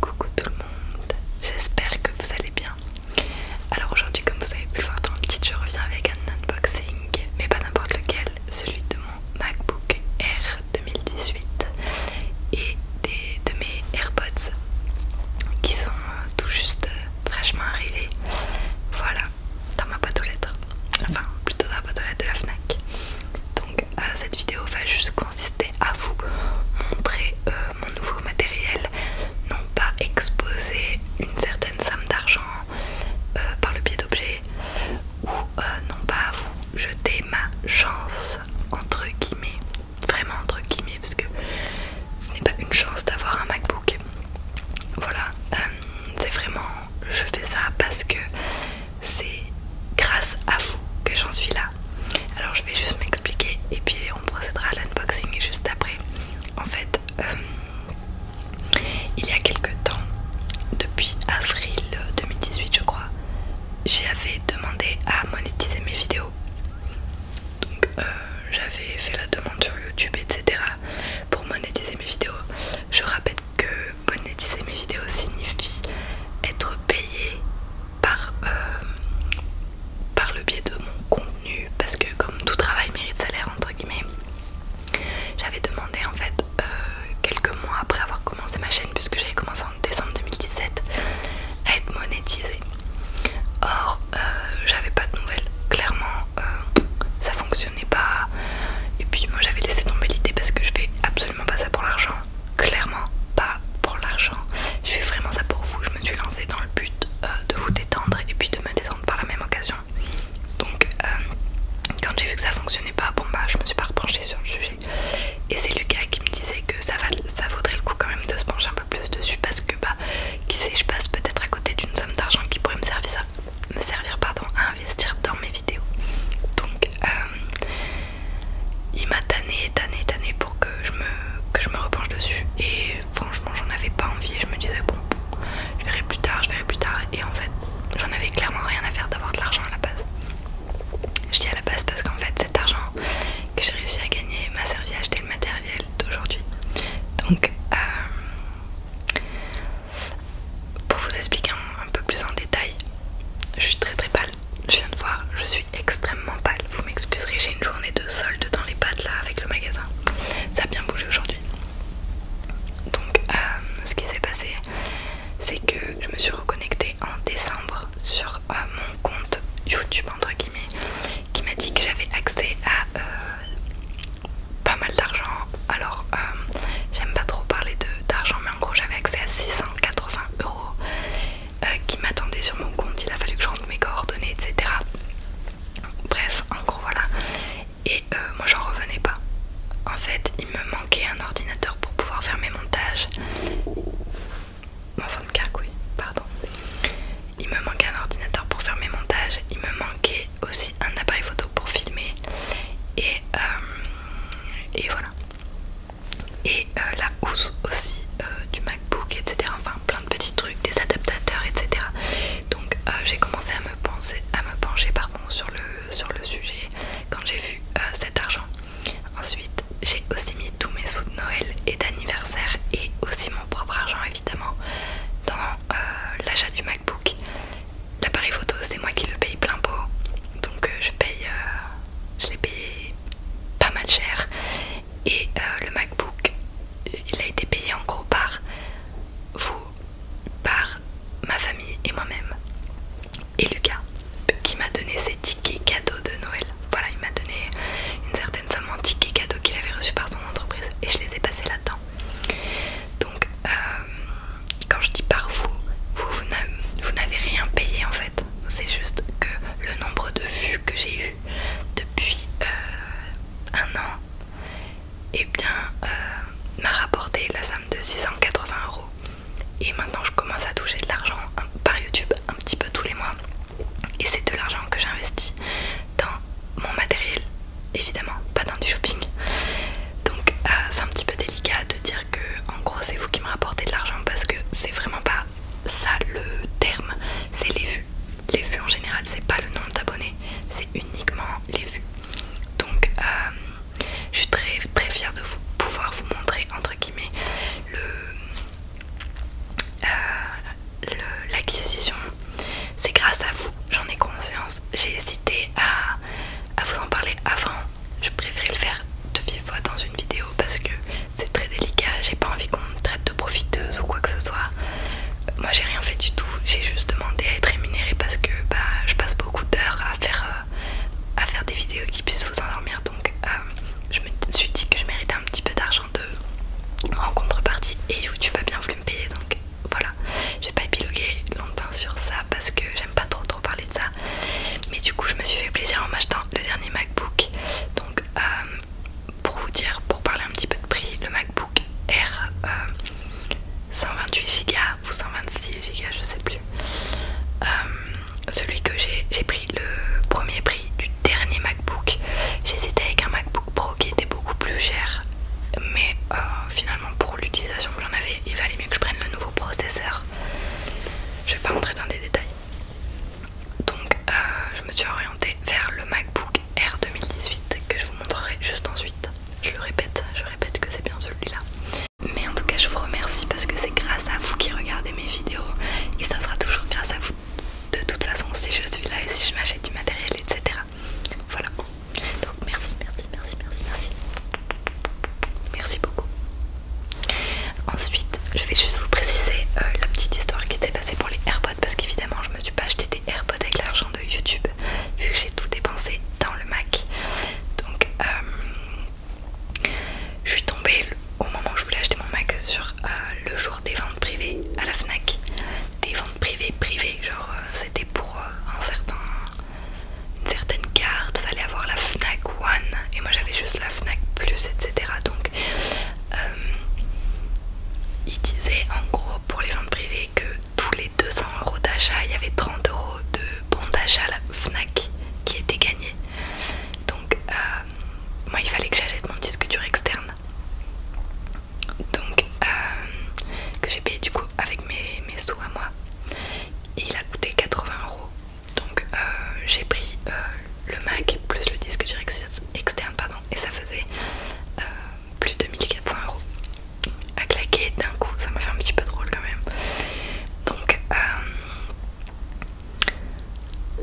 Coucou tout le monde, j'espère que vous allez bien. Alors aujourd'hui comme vous avez pu le voir dans le titre je reviens avec un unboxing mais pas n'importe lequel, celui de mon MacBook Air 2018 et de mes AirPods qui sont euh, tout juste euh, fraîchement arrivés. Voilà, dans ma boîte aux lettres, enfin plutôt dans la boîte aux lettres de la FNAC. Donc euh, cette vidéo va juste consister à vous montrer euh, mon nouveau matériel, non pas exposer une certaine somme d'argent euh, par le biais d'objets ou non pas vous jeter ma chance entre guillemets, vraiment entre guillemets parce que ce n'est pas une chance d'avoir un MacBook. Voilà, c'est vraiment, je fais ça parce que c'est grâce à vous que j'en suis là. Alors je vais juste m'expliquer et puis on procédera à l'unboxing juste après. En fait, euh, il y a quelques temps, depuis avril 2018 je crois, j'avais demandé à monétiser mes vidéos. Donc euh, j'avais fait la demande sur YouTube, etc. pour monétiser mes vidéos. Je rappelle que monétiser mes vidéos signifie être payé euh, par, le biais de mon contenu parce que comme tout travail mérite salaire entre guillemets j'avais demandé en fait euh, quelques mois après avoir commencé ma chaîne puisque j'avais commencé en décembre 2017 à être monétisée or euh, j'avais pas de nouvelles clairement ça fonctionnait pas et puis moi j'avais laissé tomber l'idée parce que je fais absolument pas ça pour l'argent clairement pas pour l'argent. Je fais vraiment ça pour vous. Je me suis lancée dans le but euh, de vous détendre et puis de me détendre par la même occasion. Donc, euh, quand j'ai vu que ça fonctionnait pas, bon bah je me suis pas repenchée sur le sujet. Et c'est Lucas qui me disait que ça, va, ça vaudrait le coup quand même de se pencher un peu plus dessus parce que bah qui sait, je passe peut-être à côté d'une somme d'argent qui pourrait me servir, à, me servir pardon, à investir dans mes vidéos. Donc euh, il m'a tanné, tanné, tanné pour que je me, je me repenche dessus. Et franchement, j'en avais pas envie. Et je me disais, bon, je verrai plus tard, je verrai plus tard. Et en fait, j'en avais clairement rien à faire d'avoir de l'argent à la base. Je dis à la base parce qu'en fait, cet argent que j'ai réussi à gagner m'a servi à acheter le matériel d'aujourd'hui. Donc, euh, pour vous expliquer un, peu plus en détail, je suis très très pâle je viens de voir, je suis extrêmement pâle. Vous m'excuserez, j'ai une journée de solde dans les pattes là avec le magasin. Ça a bien bougé aujourd'hui. Donc, euh, ce qui s'est passé, c'est que je me suis reconnectée en décembre sur euh, mon compte YouTube, entre guillemets, qui m'a dit que j'avais accès à euh, pas mal d'argent. Alors, j'aime pas trop parler d'argent, mais en gros, j'avais accès à 680 euros. Euh, qui m'attendait sur mon compte, il a fallu que je rentre mes coordonnées, etc. Bref, en gros voilà. Et euh, moi j'en revenais pas. En fait, il me manquait un ordinateur pour pouvoir faire mes montages. Mon carcouille, pardon. Il me manquait un ordinateur pour faire mes montages. Il me manquait aussi un appareil photo pour filmer. Et, euh, et voilà et euh, la housse aussi euh, du MacBook, etc. Enfin, plein de petits trucs, des adaptateurs, etc. Donc, euh, j'ai commencé à me, pencher sur, le, sur le sujet quand j'ai vu cet argent. Ensuite, j'ai aussi mis tous mes sous de Noël et d'anniversaire et aussi mon propre argent, évidemment, dans l'achat du MacBook. L'appareil photo, c'est moi qui le paye plein pot. Donc, je paye. je l'ai payé pas mal cher et euh, le MacBook il a été payé en gros par vous, par ma famille et moi-même et Lucas qui m'a donné ses tickets cadeaux de Noël. Voilà, il m'a donné une certaine somme en tickets cadeaux qu'il avait reçu par son entreprise et je les ai passés là-dedans. Donc euh, quand je dis par vous, vous n'avez rien payé en fait c'est juste que le nombre de vues que j'ai eu depuis euh, un an et eh bien euh, m'a rapporté la somme de 680 euros et maintenant je commence à toucher de l'argent par YouTube un petit peu tous les mois et c'est de l'argent que j'investis dans mon matériel évidemment pas dans du shopping donc euh, c'est un petit peu délicat de dire que en gros c'est vous qui me rapportez de l'argent parce que c'est vraiment pas ça le terme, c'est les vues. Les vues en général, c'est pas le nombre d'abonnés, c'est uniquement les vues. Donc, euh, je suis très très fière de vous pouvoir vous montrer entre guillemets euh, le l'acquisition. C'est grâce à vous, j'en ai conscience. J'ai hésité à, à vous en parler avant. Je préférais le faire de vive fois dans une vidéo parce que c'est très délicat, j'ai pas envie qu'on me traite de profiteuse ou quoi que ce soit. Moi j'ai rien fait du tout, j'ai juste demandé à être rémunérée parce que bah, je passe beaucoup d'heures à faire, euh, à faire des vidéos qui puissent vous endormir donc euh, je me suis dit que je méritais un petit peu d'argent de en contrepartie et YouTube a bien voulu me payer donc voilà, Je vais pas épiloguer longtemps sur ça parce que j'aime pas trop trop parler de ça mais du coup je me suis fait plaisir en m'achetant le dernier MacBook donc euh, pour vous dire, pour parler un petit peu de prix, le MacBook R 128 Go ou 126 Go, je sais plus. Euh, celui que j'ai, j'ai pris le premier prix du dernier MacBook. J'hésitais avec un MacBook Pro qui était beaucoup plus cher, mais euh, finalement pour l'utilisation que j'en avais, il valait mieux que je prenne le nouveau processeur. Je vais pas rentrer dans les détails. Donc euh, je me suis orientée vers le MacBook Air 2018 que je vous montrerai juste ensuite. Je le répète, je répète que c'est bien celui-là. Mais en tout cas je vous remercie parce que c'est grâce à vous qui regardez mes vidéos et ça sera toujours grâce à vous de toute façon si je suis là et si je m'achète du matériel etc. Voilà. Donc merci, merci, merci, merci, merci. Merci beaucoup. Ensuite, je vais juste vous préciser euh, la petite histoire qui s'est passée pour les AirPods parce qu'évidemment, je me suis pas acheté des AirPods avec l'argent de YouTube vu que j'ai tout dépensé dans le Mac. Donc, euh, je suis tombée au moment où je voulais acheter mon Mac sur euh, le jour des ventes privées à la Fnac. Des ventes privées, privées, genre c'était pour un certain, une certaine carte, fallait avoir la Fnac One et moi j'avais juste la Fnac Plus, etc. Donc euh, il disait en gros pour les ventes privées que tous les 200 euros d'achat, il y avait 30 euros de bon d'achat Fnac qui était gagné. Donc euh, moi il fallait que j'achète mon disque dur externe. Donc euh, que j'ai payé du coup avec mes, sous à moi. Et il a coûté 80 euros. Donc j'ai pris le Mac plus le disque direct externe pardon, et ça faisait euh, plus de 1400 euros à claquer d'un coup, ça m'a fait un petit peu drôle quand même. Donc, euh,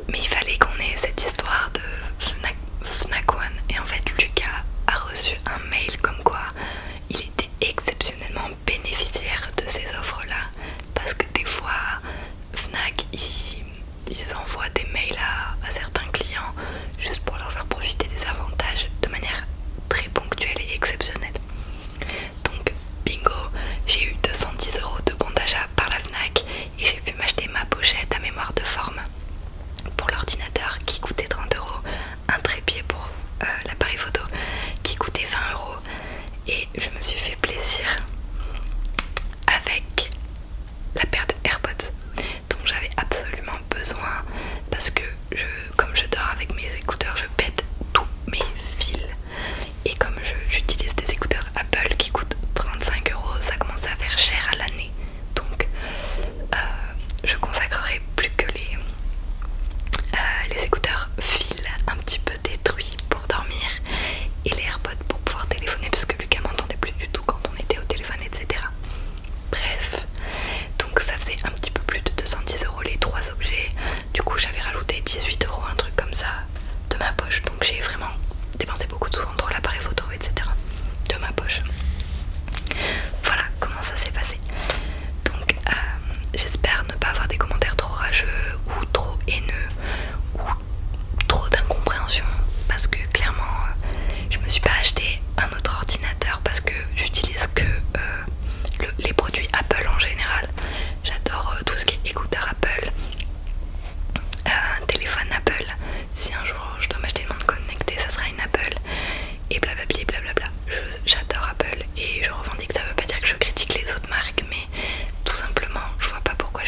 mais il fallait qu'on ait cette histoire de Fnac, Fnac One et en fait Lucas a reçu un mail comme quoi il était exceptionnellement bénéficiaire de ces offres là parce que des fois Fnac il ils envoient des mails à, certains clients juste pour leur faire profiter des avantages de manière très ponctuelle et exceptionnelle. Donc bingo, j'ai eu 210 euros de bon d'achat par la FNAC et j'ai pu m'acheter ma pochette à mémoire de forme pour l'ordinateur qui coûtait 30 euros, un trépied pour euh, l'appareil photo qui coûtait 20 euros et je me suis fait plaisir avec la paire de AirPods dont j'avais absolument besoin parce que je, comme je dors avec mes écouteurs, je pète tous mes fils et comme j'utilise des écouteurs Apple qui coûtent 35 euros, ça commence à faire cher à l'année donc euh, je consacrerai plus que les, euh, les écouteurs fils un petit peu détruits dormir et les AirPods pour pouvoir téléphoner parce que Lucas m'entendait plus du tout quand on était au téléphone, etc. Bref, donc ça faisait un petit peu plus de 210 euros les trois objets. Du coup, j'avais rajouté 18 euros, un truc comme ça de ma poche. Donc j'ai vraiment dépensé beaucoup de sous entre l'appareil photo, etc. de ma poche. Voilà comment ça s'est passé. Donc euh, j'espère ne pas avoir des commentaires trop rageux ou trop haineux ou trop d'incompréhension parce que clairement euh, je me suis pas acheté un autre ordinateur parce que j'utilise que euh, les produits Apple en général. J'adore euh, tout ce qui est écouteur Apple, téléphone Apple. Si un jour je dois m'acheter une montre connectée, ça sera une Apple. Et blablabla, J'adore Apple et je revendique. Ça veut pas dire que je critique les autres marques, mais tout simplement, je vois pas pourquoi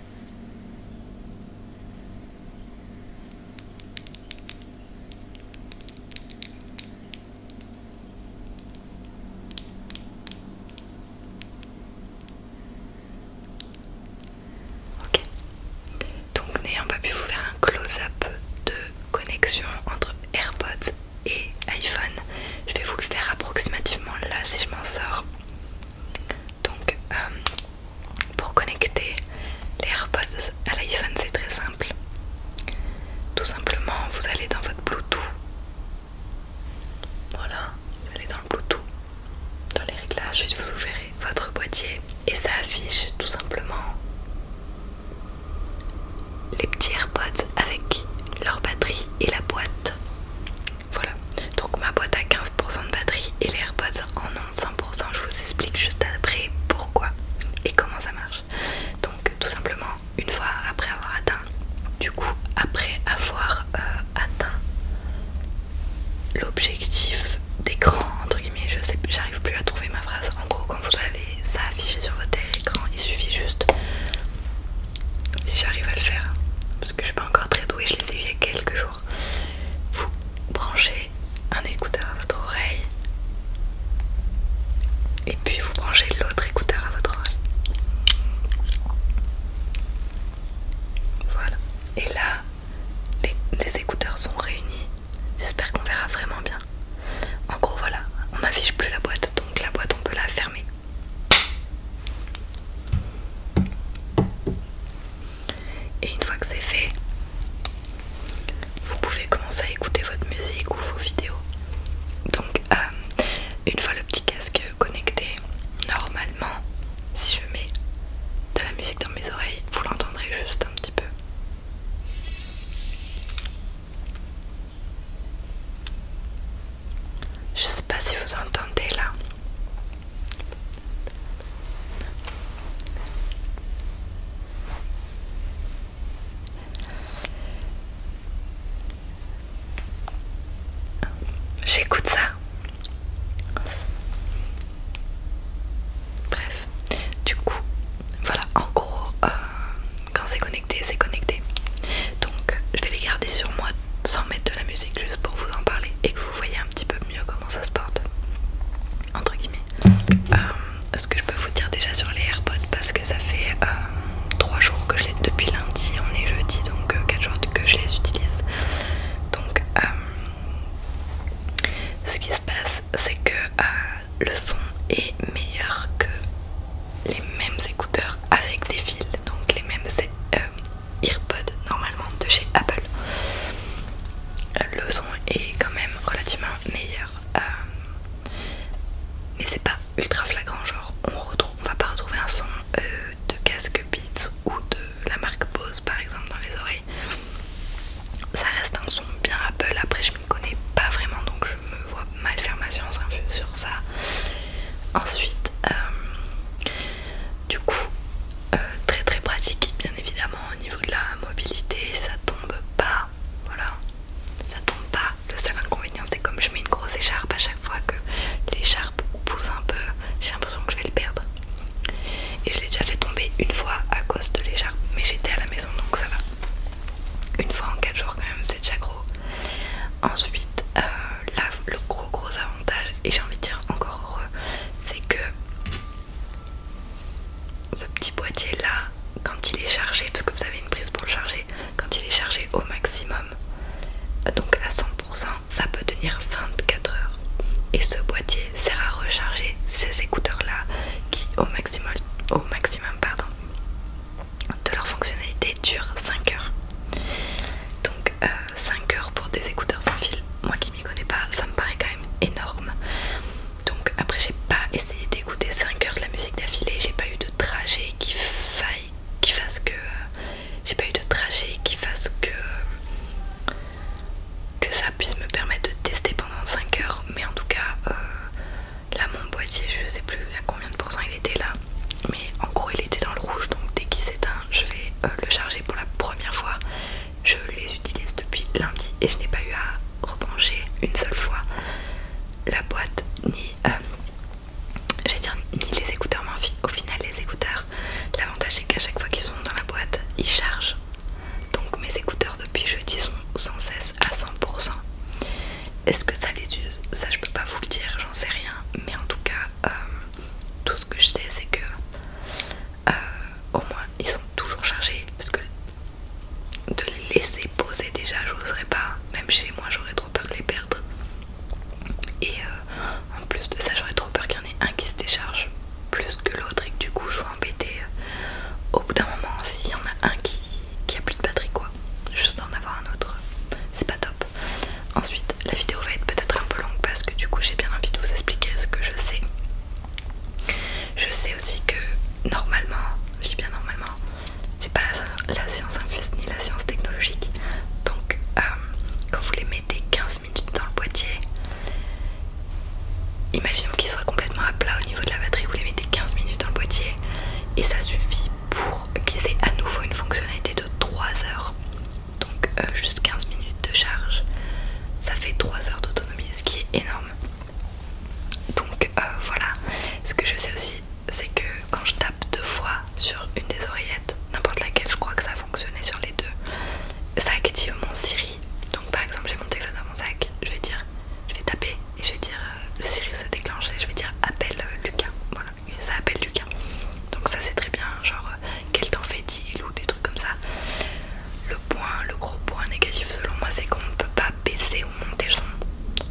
Ok, donc n'ayant pas pu vous faire un close-up de connexion entre AirPods et iPhone, je vais vous le faire approximativement là si je m'en sors. Donc, euh, pour connecter les AirPods à l'iPhone, c'est très simple. Tout simplement, vous allez dans votre Bluetooth. Voilà, vous allez dans le Bluetooth. Dans les réglages, vous ouvrez votre boîtier et ça affiche tout simplement les petits AirPods avec leur batterie et la boîte. Voilà, donc ma boîte a 15% de batterie et les AirPods en ont 100%, Je vous explique juste après pourquoi et comment ça marche. Donc, tout simplement, une fois après avoir atteint, du coup, après avoir euh, atteint l'objectif d'écran, entre guillemets, je sais j'arrive plus à trouver ma phrase. En gros, quand vous avez ça affiché sur votre écran, il suffit juste si j'arrive à le faire hein, parce que je suis pas encore très douée, je les ai il y a quelques jours vous branchez un écouteur à votre oreille et puis vous branchez l'autre écouteur à votre oreille. Voilà. Et là, les écouteurs sont réunis. J'espère qu'on verra vraiment bien. En gros, voilà, on n'affiche plus la boîte, donc la boîte on peut la fermer. Et une fois que c'est fait, vous pouvez commencer à écouter votre musique ou vos vidéos. Donc, euh, une fois le petit casque connecté, normalement, si je mets de la musique dans mes oreilles, vous l'entendrez juste un petit peu. Je sais pas si vous entendez là. J'écoute ça. Bref, du coup, voilà, en gros, euh, quand c'est connecté, c'est connecté. Donc, je vais les garder sur moi sans mettre de la musique juste pour vous en parler et que vous vous voyez un petit peu mieux comment ça se porte entre guillemets euh, ce que je peux vous dire déjà sur les AirPods parce que ça fait euh, trois 3 jours que je les depuis lundi on est jeudi donc euh, quatre 4 jours que je les utilise donc ce qui se passe c'est que le son est meilleur que les mêmes écouteurs avec des fils donc les mêmes Earpod normalement de chez Apple. Euh, le son est quand même relativement meilleur, euh, mais c'est pas ultra flagrant. Genre, on, retrouve, on va pas retrouver un son euh, de casque Beats ou de la marque Bose par exemple dans les oreilles. Ça reste un son bien Apple. Après, je m'y connais pas vraiment donc je me vois mal faire ma science sur ça. Ensuite, du coup, euh, très très pratique, bien évidemment, au niveau de la mobilité, ça tombe pas. Voilà, ça tombe pas. Le seul inconvénient, c'est comme je mets une grosse écharpe à chaque fois que l'écharpe pousse un peu, j'ai l'impression que je vais le perdre. Et je l'ai déjà fait tomber une fois à cause de l'écharpe, mais j'étais à la maison donc ça va. Une fois en 4 jours, quand même, c'est déjà gros. Ensuite, euh, le gros gros avantage et j'ai envie de dire encore heureux c'est que ce petit boîtier là quand il est chargé parce que vous avez une prise pour le charger quand il est chargé au maximum donc à 100% ça peut tenir 24 heures et ce boîtier sert à recharger ces écouteurs là qui au maximum au maximum pardon de leur fonctionnalité dure 5 heures donc 5 euh, heures pour des écouteurs sans fil moi qui m'y connais pas, ça me paraît quand même énorme. Donc après j'ai pas essayé d'écouter 5 heures de la musique d'affilée, j'ai pas eu de trajet qui faille, qui fasse que... Euh, j'ai pas eu de trajet qui fasse que... Euh, que ça puisse me permettre de tester pendant 5 heures, mais en tout cas, euh, là mon boîtier, je sais plus à combien de pourcents il était là, mais en gros il était dans le rouge, donc dès qu'il s'éteint, je vais le charger pour la première fois je les utilise depuis lundi et je n'ai pas eu à rebrancher une seule fois la boîte ni, euh, les écouteurs, mais au final les écouteurs, l'avantage c'est qu'à chaque fois qu'ils sont dans la boîte, ils chargent. Donc mes écouteurs depuis jeudi sont sans cesse à 100%. Est-ce que ça les use Ça je peux pas vous le dire, j'en sais rien. Mais en tout cas, euh, tout ce que je sais c'est que euh, au moins ils sont toujours chargés parce que de les laisser poser déjà j'oserais pas même chez moi j'aurais trop peur de les perdre et euh, en plus de ça j'aurais trop peur qu'il y en ait un qui se décharge plus que l'autre et que du coup je sois embêtée au bout d'un moment s'il y en a un qui, qui a plus de batterie quoi juste d'en avoir un autre c'est pas top ensuite la vidéo va être peut-être un peu longue parce que du coup j'ai bien envie de vous expliquer ce que je sais. Je sais aussi que normalement, je dis bien normalement, j'ai pas la, science infuse ni la science technologique. Donc euh, quand vous les mettez 15 minutes dans le boîtier, imaginons qu'ils soient complètement à plat au niveau de la batterie, vous les mettez 15 minutes dans le boîtier et ça suffit pour qu'ils aient à nouveau une fonctionnalité de 3 heures donc euh, juste 15 minutes de charge ça fait 3 heures d'autonomie ce qui est énorme donc euh, voilà ce que je sais aussi c'est que quand je tape deux fois sur une des oreillettes n'importe laquelle je crois que ça a sur les deux ça active mon Siri donc par exemple j'ai mon téléphone dans mon sac je vais dire je vais taper et je vais dire euh, le Siri se déclenche et je vais dire appelle Lucas voilà ça appelle Lucas donc ça c'est très bien genre quel temps fait-il ou des trucs comme ça. Le point, le gros point négatif selon moi, c'est qu'on ne peut pas baisser ou monter le son.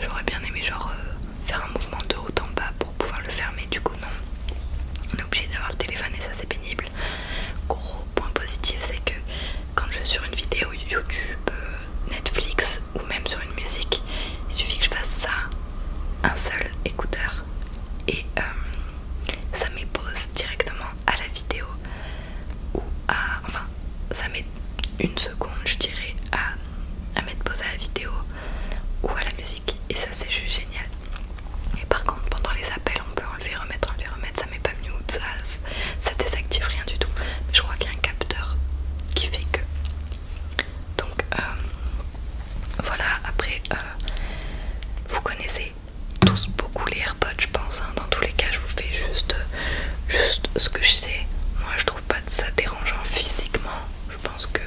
J'aurais bien aimé genre euh, faire un mouvement de haut en bas pour pouvoir le fermer, du coup non. On est obligé d'avoir le téléphone et ça c'est pénible. Gros point positif c'est que quand je suis sur une vidéo YouTube, euh, Netflix ou même sur une musique, il suffit que je fasse ça, un seul écouteur et euh, ça met pause directement à la vidéo ou à enfin ça met une seconde je dirais à, mettre pause à la vidéo ou à la musique et ça c'est juste génial et par contre pendant les appels on peut enlever remettre enlever remettre ça met pas mieux ça, ça désactive rien du tout je crois qu'il y a un capteur qui fait que donc euh, voilà après euh, vous connaissez tous beaucoup les AirPods, je pense. Hein. Dans tous les cas, je vous fais juste, juste ce que je sais. Moi, je trouve pas ça dérangeant physiquement. Je pense qu'il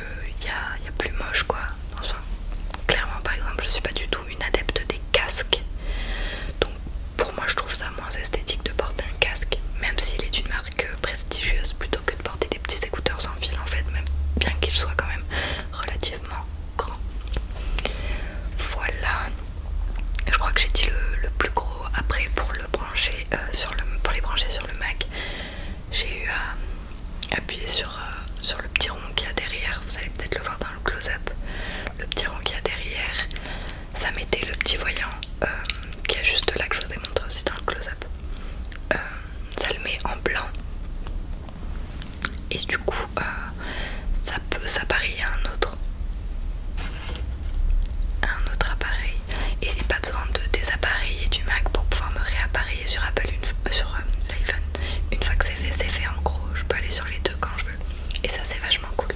y a, y a plus moche quoi. Enfin, clairement, par exemple, je suis pas du tout une adepte des casques. Donc, pour moi, je trouve ça moins esthétique de porter un casque, même s'il est une marque prestigieuse, plutôt que de porter des petits écouteurs sans fil en fait, même bien qu'ils soient quand même relativement grand. Voilà. Je crois que j'ai dit le, plus gros. Après, pour le brancher euh, sur le, pour les brancher sur le Mac, j'ai eu à appuyer sur, euh, sur le petit rond qui a derrière. Vous allez peut-être le voir dans le close-up. Le petit rond qui a derrière, ça mettait le petit voyant euh, qui est juste là que je vous ai montré aussi dans le close-up. ça le met en blanc et du coup euh, ça peut s'appareiller à un autre un autre appareil et j'ai pas besoin de désappareiller du Mac pour pouvoir me réappareiller sur Apple une, sur euh, une fois que c'est fait c'est fait en gros je peux aller sur les deux quand je veux et ça c'est vachement cool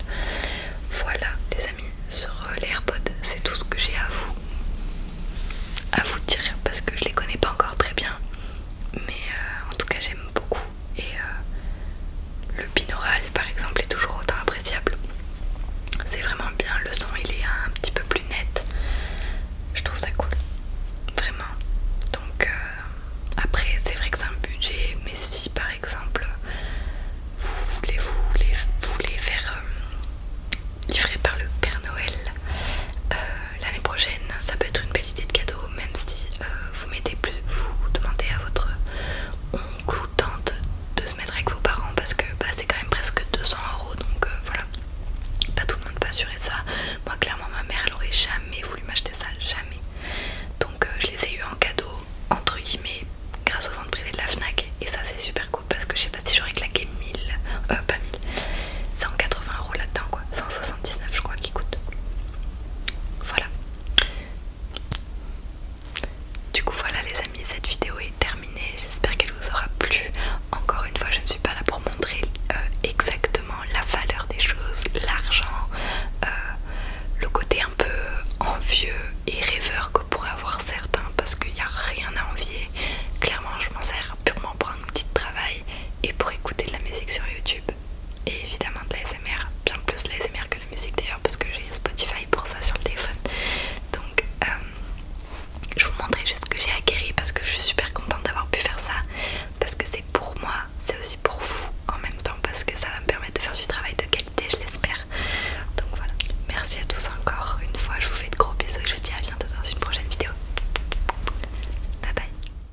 voilà les amis sur euh, les AirPods c'est tout ce que j'ai à vous à vous dire parce que je les connais pas encore très bien mais en tout cas j'aime beaucoup et euh, le pinoral, par exemple est toujours autant appréciable. C'est vraiment bien, le son il est un petit peu plus net. Je trouve ça cool, vraiment. Donc euh, après c'est vrai que c'est un budget, mais si par exemple vous voulez vous voulez, faire euh, livrer par le Père Noël, euh, l'année prochaine ça peut être une belle idée de cadeau même si euh, vous mettez plus vous demandez à votre oncle ou tante de se mettre avec vos parents parce que bah, c'est quand même presque 200 euros donc euh, voilà pas tout le monde peut assurer ça moi clairement ma mère elle aurait jamais voulu m'acheter ça jamais donc je les ai eu en cadeau entre guillemets grâce aux ventes privées de la FNAC et ça c'est super cool parce que je sais pas si j'aurais claqué 1000 euh, pas 1000 180 euros là-dedans quoi 179 je crois qui coûte voilà. Du coup voilà les amis, cette vidéo est terminée, j'espère qu'elle vous aura plu. Encore une fois, je ne suis pas là pour montrer euh, exactement la valeur des choses, l'argent, euh, le côté un peu envieux et rêveur que pourraient avoir certains parce qu'il n'y a rien à envier. Clairement, je m'en sers purement pour un petit travail et pour écouter de la musique sur YouTube et évidemment de l'ASMR, bien plus l'ASMR que la musique d'ailleurs parce que j'ai Spotify pour ça sur le téléphone. Donc euh, je vous montrerai juste ce que j'ai acquéri parce que je suis super contente d'avoir pu faire ça parce que c'est pour moi, c'est aussi pour vous en même temps parce que ça va me permettre de faire du travail de qualité, je l'espère. Donc voilà, merci à tous encore une fois, je vous fais de gros bisous et je vous dis à bientôt dans une prochaine vidéo. Bye bye